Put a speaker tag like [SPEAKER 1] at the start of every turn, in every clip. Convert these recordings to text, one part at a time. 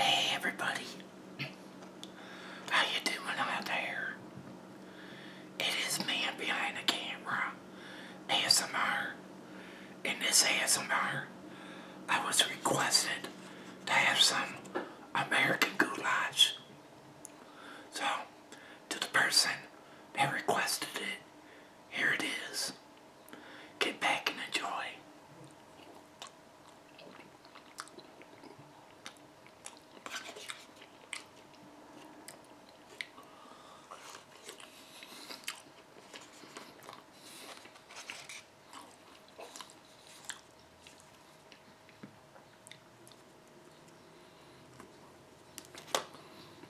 [SPEAKER 1] Hey everybody. How you doing out there? It is man behind the camera. ASMR. In this ASMR, I was requested to have some American goulash. So, to the person that requested it, here it is. Get back and enjoy.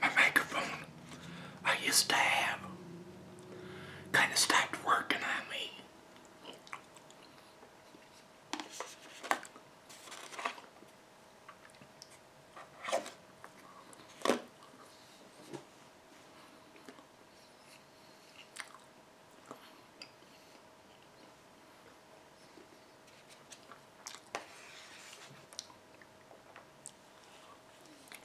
[SPEAKER 1] my microphone I used to have kind of stopped working on me.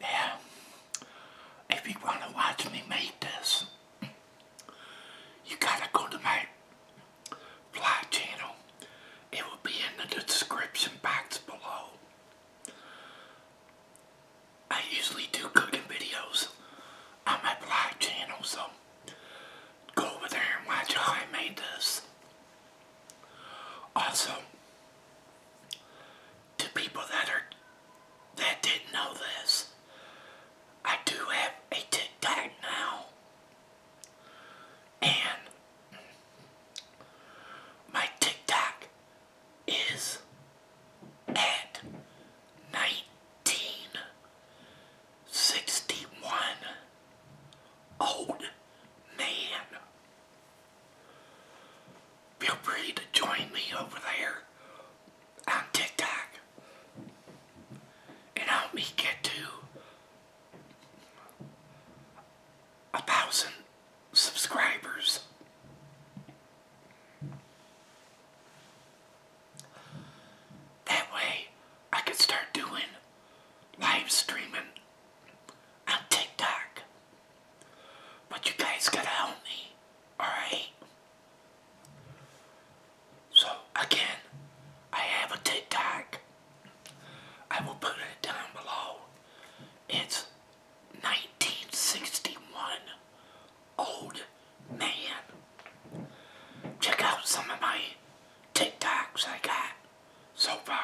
[SPEAKER 1] Yeah, if you want to watch me make this, you gotta go to my fly channel. It will be in the description box below. I usually do cooking videos on my blog channel, so Go over there and watch how I made this. Also, to people that are that didn't know this, I do have a TikTok now. And my TikTok is at 19 61 old man. Feel free to join me over there on TikTok and help me get to a thousand subscribers. That way, I could start doing live streaming on TikTok. But you guys gotta help me, alright? So, again, I have a TikTok. I will put it down below. It's 1961 old man. Check out some of my TikToks I got so far.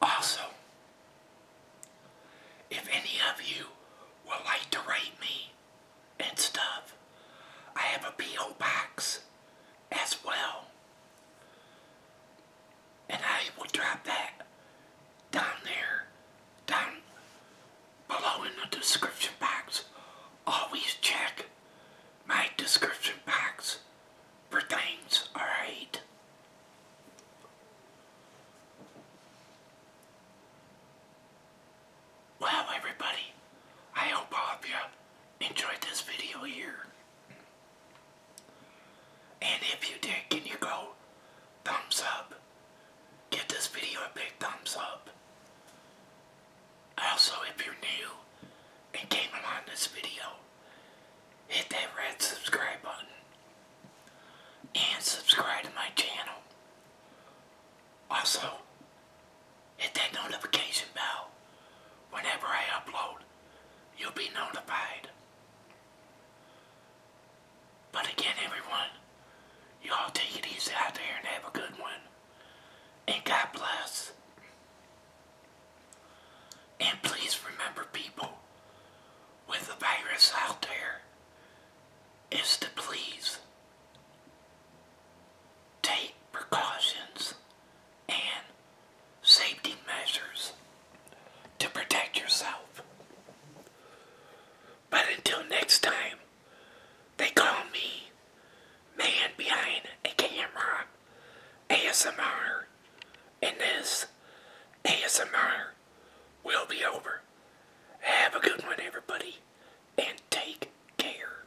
[SPEAKER 1] Also, if any of you would like to rate me and stuff, I have a P.O. box as well and I will drop that down there, down below in the description box. Always check my description box for things, alright? Well, everybody, I hope all of you enjoyed this video here. And if you did, can you go thumbs up? Get this video a big thumbs up. Also, if you're new and came along this video, hit that red subscribe button and subscribe to my channel. Also, hit that notification bell whenever I upload you'll be notified. But again, everyone, y'all take it easy out there and have a good one. And God bless. And please remember, people, with the virus out there, is to please take precautions and safety measures to protect yourself. But until next time, they call me Man Behind a Camera ASMR, and this ASMR will be over. Have a good one, everybody, and take care.